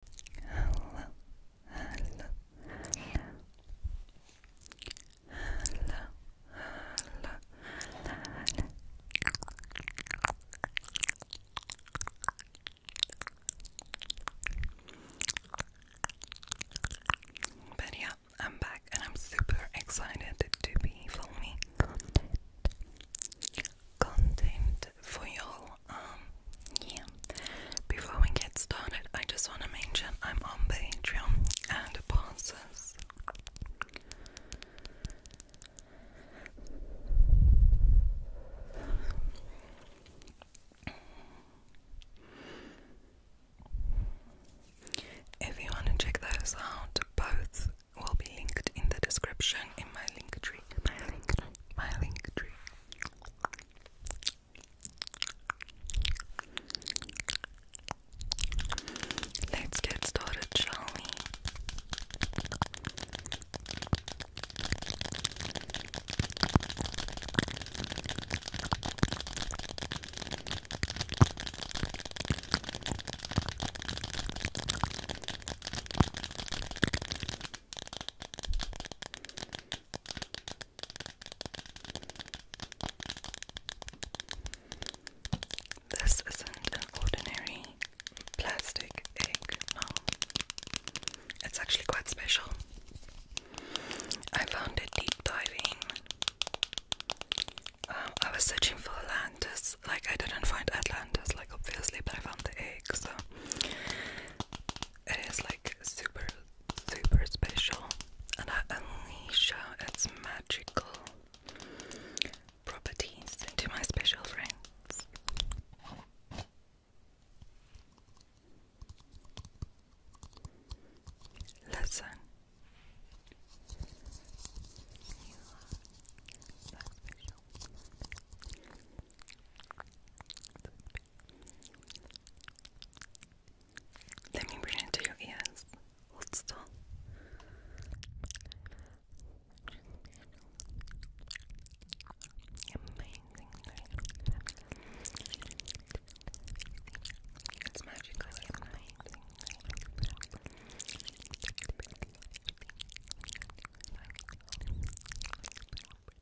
But yeah, I'm back and I'm super excited to be filming content, content for y'all. Um, yeah. Before we get started, I just want to mention I'm on Patreon and passes. If you want to check those out, both will be linked in the description in my link tree. My link, my link tree. Let's get started, shall we? This isn't an ordinary plastic egg, no. It's actually quite special. I found it deep diving. Um, I was searching for Atlantis, like I didn't find Atlantis, like obviously, but I found the egg. So it is like super, super special, and I unleash uh, its magical properties into my special friends. Listen. Let me bring it to your ears. Hold still. Amazing. It's magically amazing.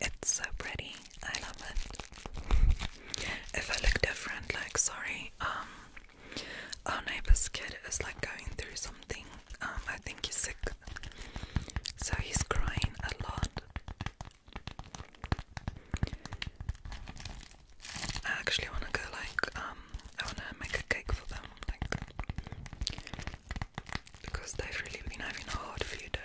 It's so pretty. I love it. If I look different, like sorry, um our neighbor's kid is like going through something. Um I think he's sick. So he's crying a lot. I actually wanna go like um wanna make a cake for them, like because they've really been having a hard few days.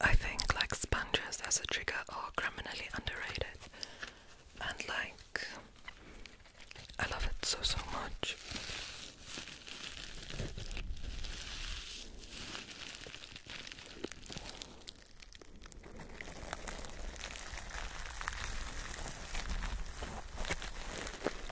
I think like sponges as a trigger are criminally underrated and like I love it so so much.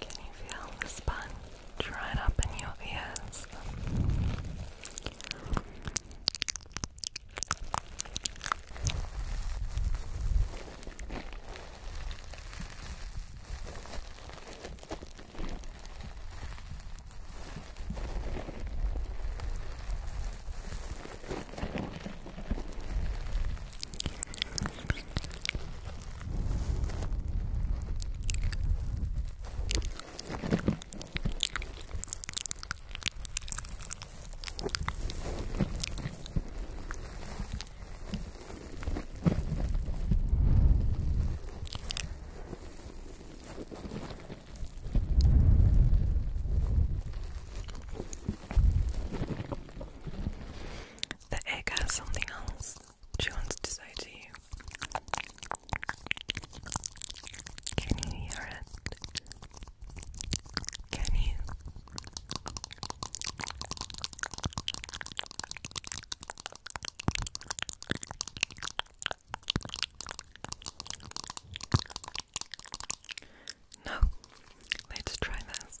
Can you feel the sun right up in your ears? The egg has something else she wants to say to you, Can you hear it? Can you? No, let's try this.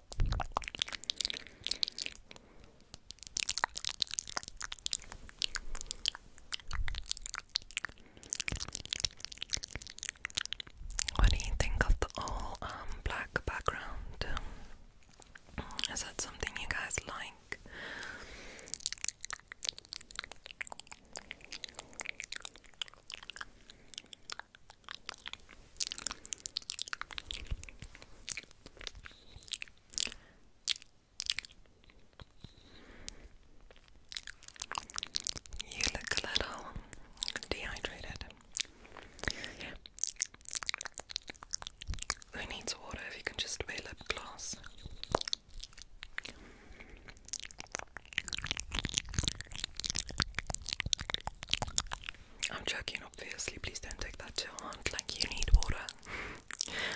What do you think of the all um, black background? Is that something you guys like? You look a little dehydrated. Who needs water if you can just wear lip gloss? I'm joking, obviously. Please don't take that to heart. Like, you need water.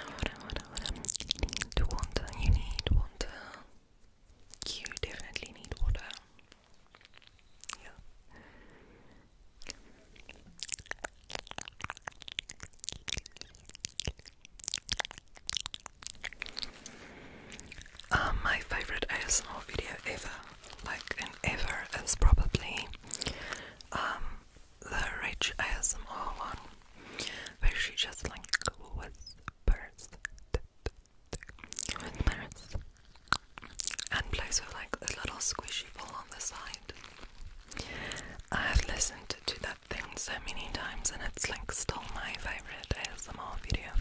Water, water, water. You need water. You definitely need water. Yeah. Um, my favorite ASMR video ever like in ever is probably um, the rich ASMR one where she just like whispers, whispers and plays with like a little squishy ball on the side. I have listened to that thing so many times and it's like still my favorite ASMR video.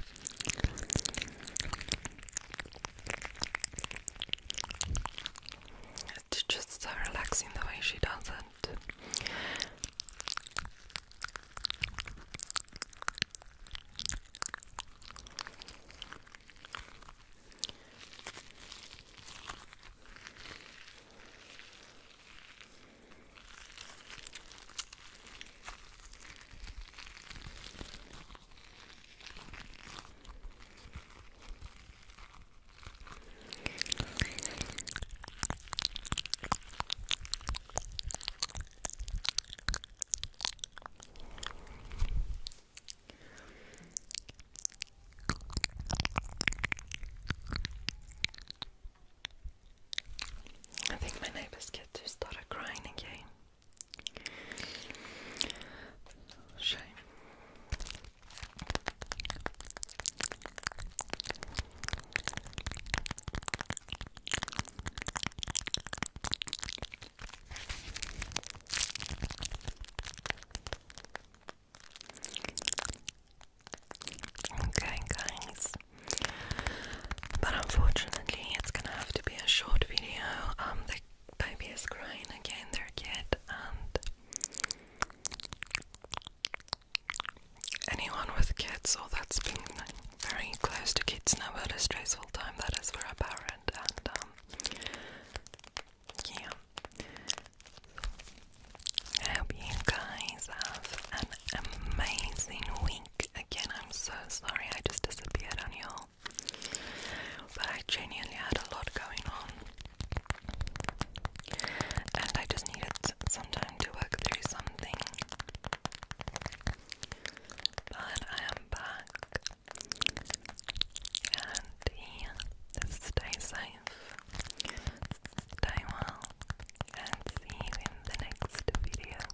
It's just so relaxing the way she does it. I think my neighbor's kid just started crying again. Shame. Okay, guys, but unfortunately, it's gonna have to be a short video. Um, Baby is crying again, their kid, and anyone with kids, so that's been very close to kids now, but a stressful time that is for a parent, and um, yeah. I hope you guys have an amazing week. Again, I'm so sorry I just disappeared on you but I genuinely had a lot going on. And I just needed some time to work through something. But I am back. And here, stay safe, stay well, and see you in the next video.